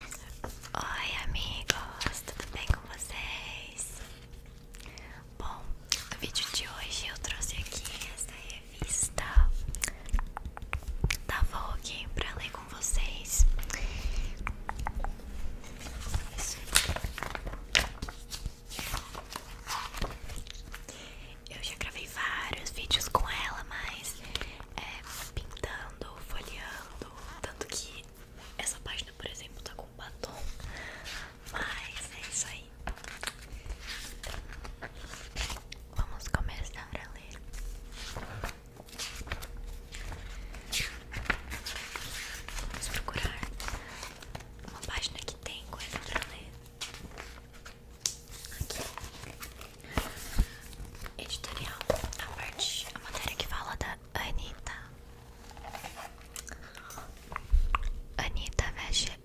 Oi amigos, tudo bem com vocês? Bom, no vídeo de hoje eu trouxe aqui essa revista da Vogue pra ler com vocês Eu já gravei vários vídeos com ela, mas é, pintando, folheando tanto que essa página, por exemplo, tá com batom. Mas é isso aí. Vamos começar a ler. Vamos procurar uma página que tem coisa pra ler. Aqui editorial, a parte, a matéria que fala da Anitta. Anitta veste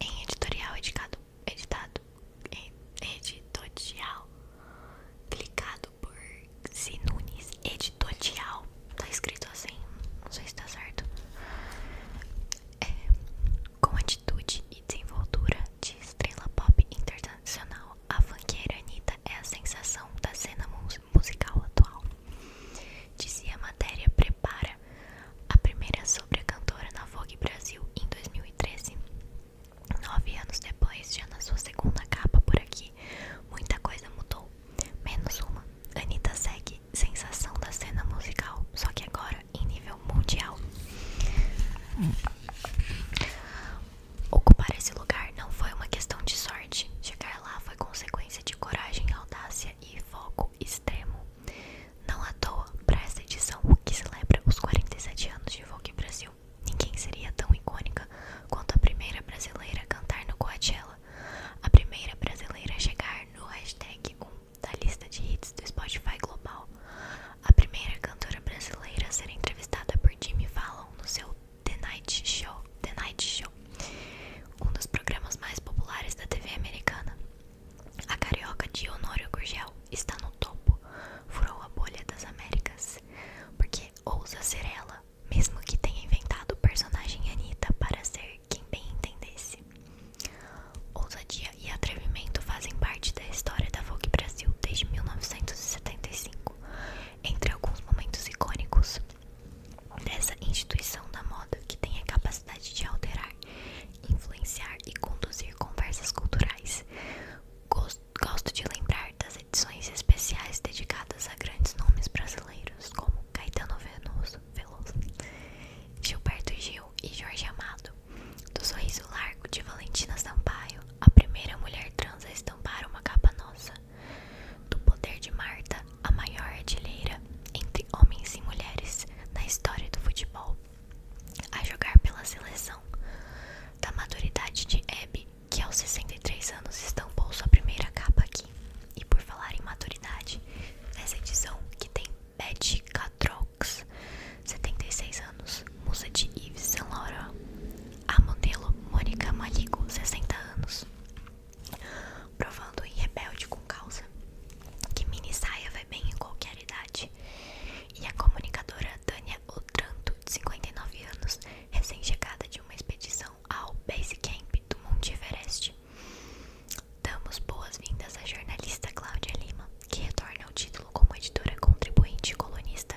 em editorial editado, editado, editorial, publicado por Sinunes, editorial, tá escrito assim, não sei se tá certo. É, com atitude e desenvoltura de estrela pop internacional a fanqueira Anitta é a sensação da cena musical atual. Dizia a matéria Prepara, a primeira sobre a cantora na Vogue Brasil em 2013. Nove anos depois, já na sua segunda capa por aqui, muita coisa mudou. Menos uma. Anitta segue sensação da cena musical, só que agora em nível mundial. Ocupar esse lugar não foi uma questão de sorte. Chegar lá foi consequência de coragem, audácia e foco extremo. Não à toa, para esta edição que celebra os 47 anos de Vogue Brasil, ninguém seria tão icônica quanto a primeira brasileira a cantar no Coachella, a primeira brasileira a chegar no hashtag 1 da lista de hits do Spotify Global, a primeira cantora brasileira a ser entrevistada por Jimmy Fallon no seu The Night Show, The Night Show, um dos programas mais populares da TV americana. A carioca de Honório está no topo, furou a bolha das Américas, porque ousa ser ela, mesmo que tenha inventado o personagem Anitta para ser quem bem entendesse. Ousadia e atrevimento fazem parte da história da Vogue Brasil desde 1975, entre alguns momentos icônicos dessa instituição da moda que tem a capacidade de alterar, influenciar e conduzir conversas culturais. Gosto, de lembrar das edições especiais dedicadas a grandes nomes brasileiros como Caetano Veloso Gilberto Gil e Jorge Amado, do sorriso largo de Valentina Sampaio, a primeira mulher trans a estampar uma capa nossa. Do poder de Marta, a maior artilheira entre homens e mulheres na história do futebol, a jogar pela seleção. Da maturidade de Abby, que aos 63 anos estampou sua primeira capa aqui. E por falar em maturidade, nessa edição que tem Betty Catrol 76 anos. Musa de Yves Saint Laurent. A modelo Mônica Maligo, 60 anos. Provando em Rebelde com Causa que mini saia vai bem em qualquer idade. E a comunicadora Tânia Otranto, 59 anos, recém-chegada de uma expedição ao Base Camp do Monte Everest. Damos boas-vindas à jornalista Cláudia Lima, que retorna o título como editora contribuinte e colunista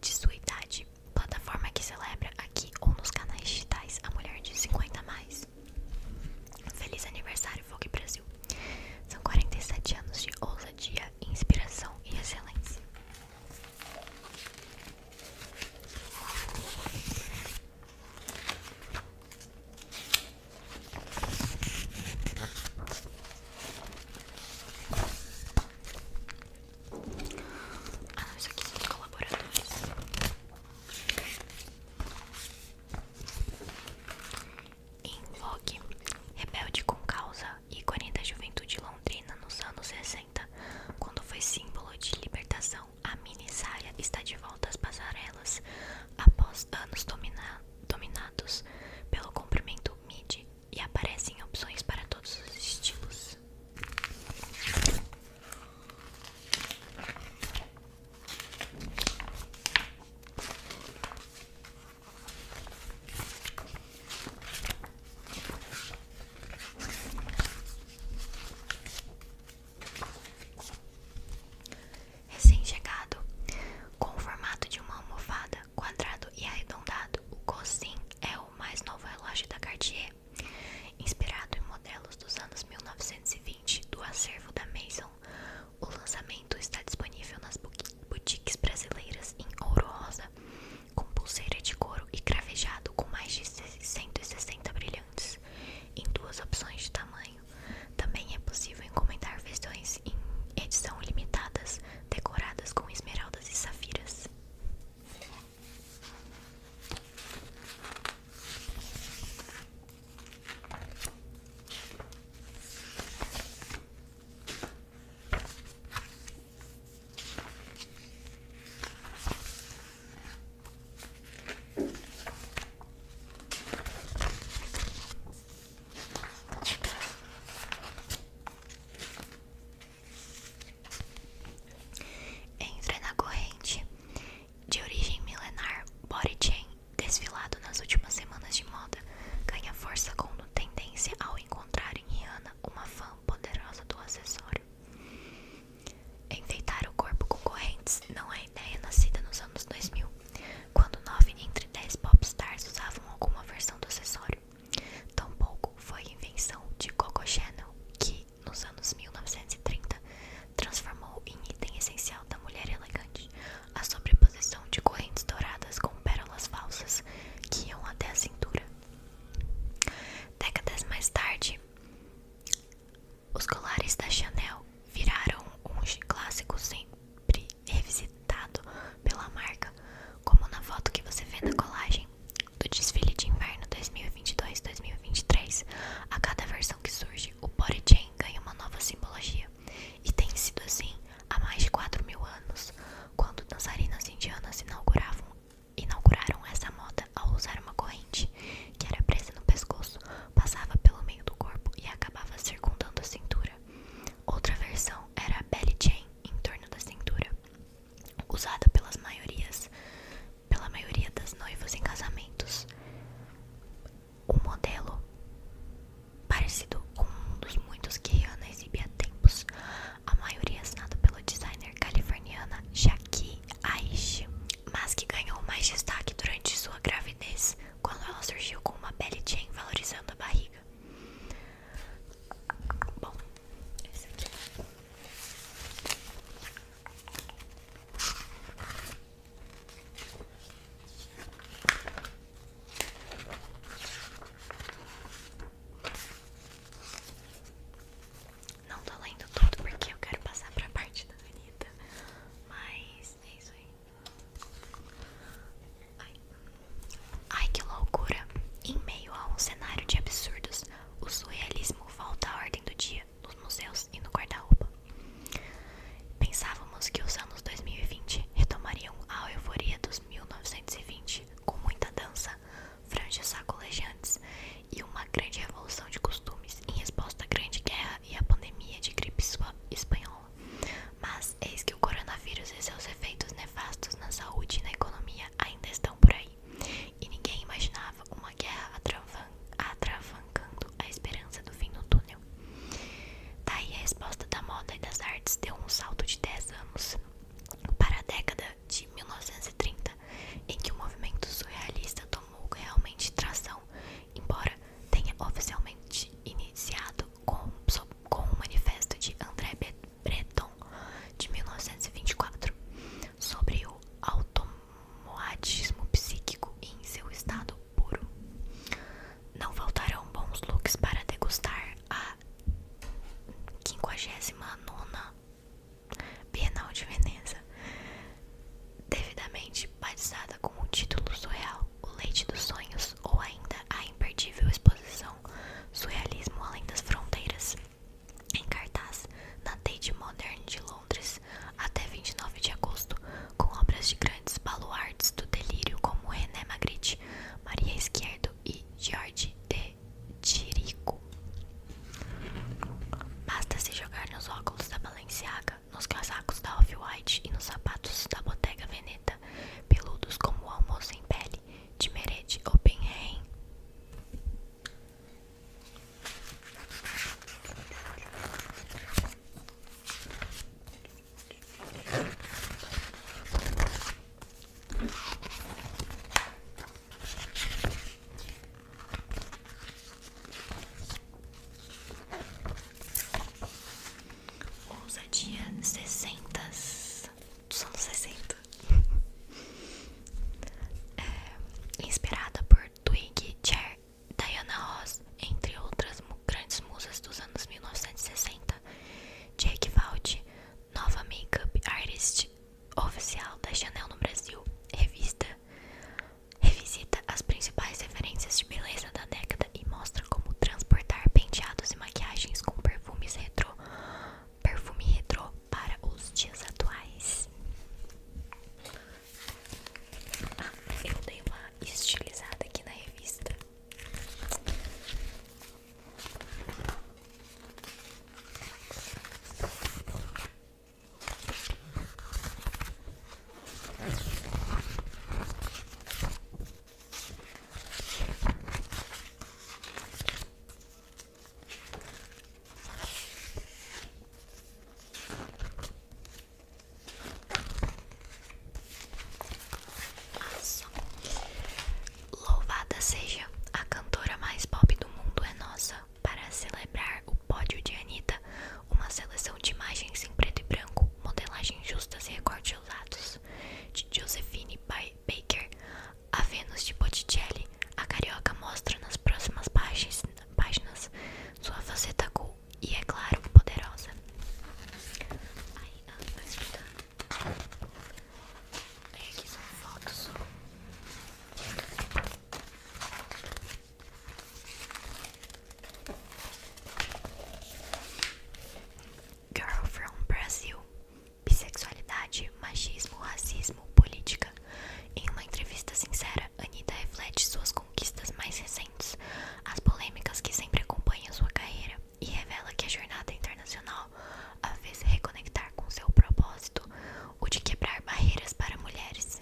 de sua idade, plataforma que celebra aqui ou nos canais digitais a mulher de 50 mais. Feliz aniversário, Vogue Brasil! São 47 anos de ousadia, inspiração e excelência. Ah aqui são colaboradores Em Vogue, rebelde com causa, e da juventude londrina nos anos 60 Quando foi símbolo de libertação, a mini saia está de volta às passarelas Após anos dominados pelo comprimento midi e aparecem opções para todos os estilos. Recém-chegado, com o formato de uma almofada, quadrado e arredondado. O Cosin é o mais novo relógio da Cartier, inspirado em modelos dos anos 1920 do acervo da Maison. O lançamento está disponível nas boutiques brasileiras em ouro rosa, com pulseira de couro e cravejado com mais de 160 brilhantes, em duas opções de tamanho. Também é possível encomendar versões em edição limitadas decoradas com esmeraldas e safiras. Entra na corrente de origem milenar body chain desfilado nas últimas semanas de moda ganha força com tendência ao encontrar em Rihanna uma fã poderosa do acessório. Enfeitar o corpo com correntes não é ideia nascida nos anos 2000, quando 9 entre 10 stars usavam alguma versão do acessório. Tampouco foi invenção de Coco Chanel, que, nos anos 1930, transformou em item essencial da mulher elegante a sobreposição de correntes douradas com pérolas falsas que iam até a cintura. Décadas mais tarde, os colares da Chanel viraram um clássico sempre revisitado pela marca, como na foto que você vê na colagem do desfile de inverno 2022-2023. A cada versão que surge, o body chain ganha uma nova simbologia, e tem sido assim há mais de 4 mil anos, quando dançarinas indianas inauguravam, inauguraram essa moda ao usar uma corrente que era presa no pescoço, passava pelo meio do corpo e acabava circundando a cintura. Outra versão era a belly chain, em torno da cintura, usada pelas maiorias, pela maioria das noivas em casamentos. Um modelo parecido com um dos muitos que Rihanna exibia há tempos, a maioria assinada pelo designer californiana Jackie Aishi, mas que ganhou mais destaque durante sua gravidez, quando ela surgiu com uma belly chain valorizando a barriga. Bom, esse aqui. Não tô lendo tudo porque eu quero passar pra parte da Anitta, mas é isso aí. Ai. que loucura! Em meio a um cenário de absurdos, o surrealismo volta à ordem do dia nos museus e no guarda-roupa. Pensávamos que os anos 2020 retomariam a euforia dos 1920 com muita dança, franjas sacolejantes e uma grande revolução de costumes em resposta à Grande Guerra e à pandemia de gripe espanhola. Mas eis que o coronavírus e seus efeitos nefastos na saúde e na economia ainda estão por aí. E ninguém imaginava uma guerra atravancando a esperança do fim no túnel. Daí tá a resposta da moda e das artes deu um salto de 10 anos para a década de 1930, em que o movimento surrealista tomou realmente tração, embora tenha oficialmente iniciado com, sob com o manifesto de André Breton de 1924 sobre o automoadismo psíquico em seu estado puro. Não faltarão bons looks para degustar a 59ª Bienal de Veneza, devidamente batizada com o título surreal O Leite dos Sonhos ou ainda a imperdível exposição Surrealismo Além das Fronteiras, em cartaz na Tate Modern de Londres até 29 de agosto, com obras de grandes baluartes do delírio como René Magritte, Maria Esquerdo e George de Tirico. Basta se jogar nos óculos da Balenciaga, nos casacos da Off-White e nos sapatos da Bottega Veneta, peludos como o almoço em pele, de Meret Oppenheim. Ousadia sessentas dos anos 60 é, Inspirada por Twiggy, Cher, Diana Ross, entre outras grandes musas dos anos 1960 Jake Vault, nova make-up artist oficial da Chanel no Brasil, Revisita as principais referências de beleza da década e mostra como transportar penteados e maquiagens com perfumes retrô perfume retrô para os dias atuais. Ah, eu dei uma estilizada aqui na revista. Louvada seja a cantora mais pop do mundo é nossa para celebrar o pódio de Anitta, uma seleção de imagens em preto e branco, modelagens justas e recortes usados de Josephine by Baker, a Vênus de Botticelli, a Carioca mostra nas próximas páginas, sua faceta cool e, é claro, poderosa. Aí, ah, vou explicar. É, aqui são fotos. Girl from Brazil bissexualidade, machismo, racismo, política. Em uma entrevista sincera, Anitta reflete suas conquistas mais recentes, as polêmicas que sempre acompanham sua carreira, e revela que a jornada internacional a fez reconectar com seu propósito, o de quebrar barreiras para mulheres.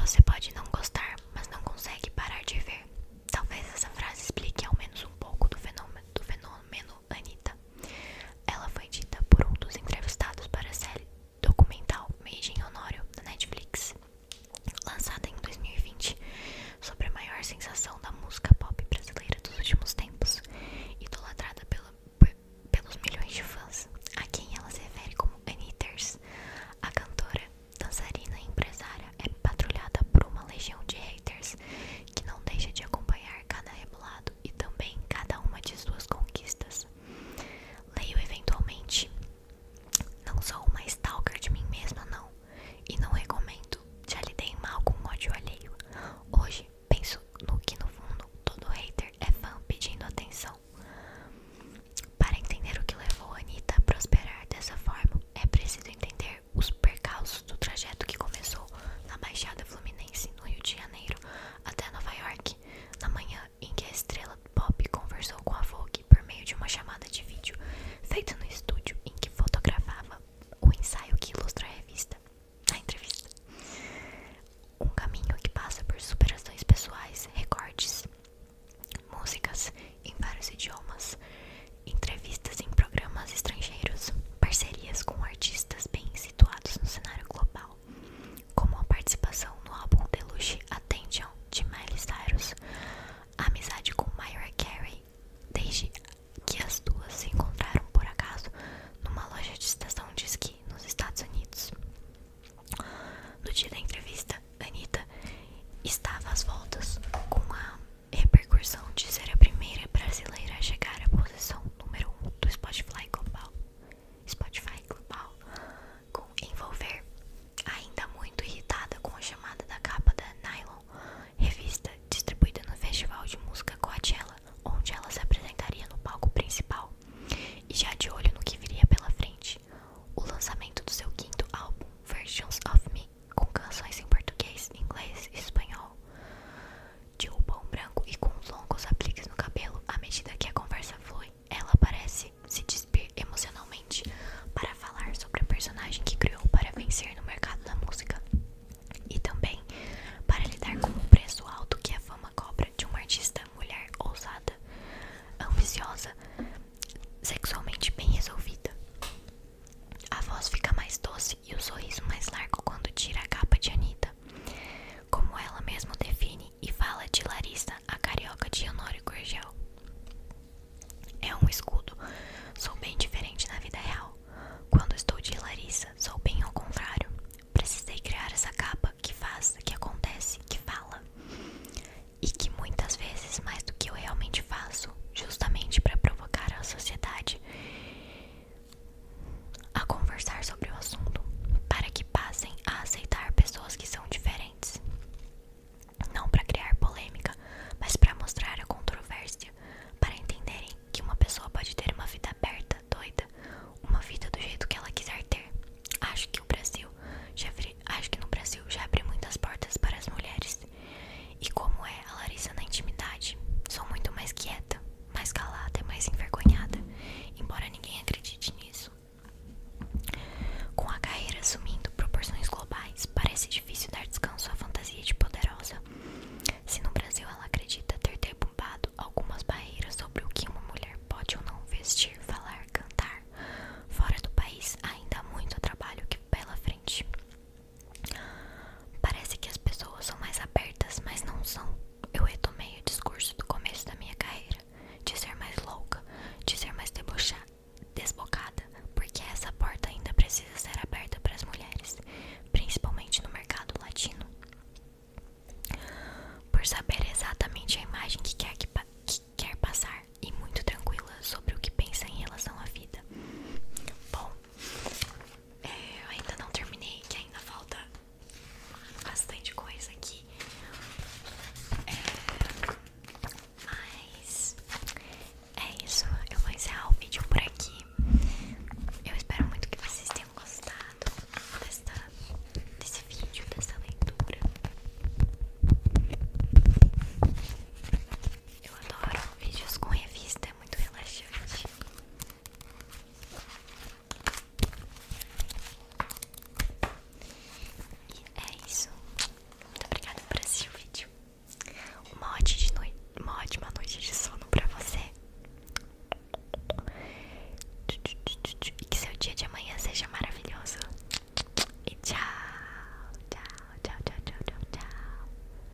Você pode não gostar, mas não consegue parar de ver. Talvez essa frase explique ao menos um pouco do fenômeno, do fenômeno Anitta. Ela foi dita por um dos entrevistados para a série documental Made Honório da Netflix, lançada em 2020, sobre a maior sensação da música pop brasileira dos últimos tempos, idolatrada pelos milhões de fãs, a quem ela se refere como Anitters. A cantora, dançarina e empresária é patrulhada por uma legião de haters que não deixa de acompanhar cada rebolado e também cada uma de suas conquistas. Leio eventualmente. Não sou uma stalker de mim mesma, não, e não recomendo. Já lidei mal com ódio alheio. Hoje penso no que no fundo todo hater é fã pedindo atenção. Para entender o que levou a Anitta a prosperar dessa forma, é preciso entender os percalços do trajeto que começou na Baixada Fluminense, no Rio de Janeiro, até Nova York, na manhã em que a estrela pop conversou com a Vogue por meio de uma chamada de vídeo feita no estúdio em que fotografava o ensaio que ilustra a revista. A entrevista. Um caminho que passa por superações pessoais, recortes, músicas em vários idiomas, entrevistas em programas estrangeiros, parcerias com artistas bem situados no cenário global, como a participação no álbum Deluxe Attention de Miley Cyrus, a amizade com Myra Carey, desde que as duas se encontraram por acaso numa loja de estação de esqui nos Estados Unidos. No dia da entrevista, Anitta estava às voltas com a repercussão de ser a primeira brasileira a chegar à posição número 1 um do Spotify Global, Spotify Global, com envolver, ainda muito irritada com a chamada da capa da Nylon, revista distribuída no Festival de Música Coachella, onde ela se apresentaria no palco principal, e já de olho no que viria pela frente, o lançamento do seu quinto álbum, Versions of Me, com canções em português, inglês e espanhol, de roupão branco e com longos apliques no cabelo. À medida que a conversa flui, ela parece se despir emocionalmente para falar sobre a personagem que criou para vencer no mercado da música e também para lidar com o preço alto que a fama cobra de uma artista mulher ousada, ambiciosa, sexualmente bem resolvida. A voz fica mais doce e o sorriso mais largo quando tira a capa de Anitta, como ela mesma define e fala de Larissa, a carioca de Honório Gurgel. É um escudo. Sou bem diferente na vida real. Quando estou de Larissa, sou bem ao contrário. Precisei criar essa capa que faz, que acontece, que fala. E que muitas vezes mais do que eu realmente faço, justamente para provocar a sociedade a conversar sobre o assunto, para que passem a aceitar pessoas que são diferentes. Não para criar polêmica, mas para mostrar a controvérsia, para entenderem que uma pessoa pode ter uma vida aberta, doida, uma vida do jeito que ela quiser ter. Acho que o Brasil já abri, acho que no Brasil já abre muitas portas para as mulheres. E como é a Larissa na intimidade? Sou muito mais quieta, mais calada, mais envergonhada, embora ninguém acredite nisso. Com a carreira assumindo proporções globais, parece difícil dar descanso à fantasia de poderosa. Se no Brasil ela acredita ter derrubado algumas barreiras sobre o que uma mulher pode ou não vestir, falar, cantar, fora do país ainda há muito trabalho que pela frente. Parece que as pessoas são mais abertas, mas não são. Eu retomei o discurso do começo da minha carreira: de ser mais louca, de ser mais desbocada, porque essa porta ainda precisa ser aberta para as mulheres, principalmente no mercado latino. Por saber exatamente a imagem que quer passar e muito tranquila sobre o que pensa em relação à vida. Bom, é, eu ainda não terminei, que ainda falta bastante coisa aqui. É, mas é isso, eu vou encerrar o vídeo por aqui. Eu espero muito que vocês tenham gostado desta, desse vídeo, dessa leitura. Eu adoro vídeos com revista, muito relaxante. E é isso. Muito obrigada por assistir o vídeo. Uma ótima, noite, uma ótima noite de sono pra você. E que seu dia de amanhã seja maravilhoso. E tchau, tchau, tchau, tchau, tchau. tchau.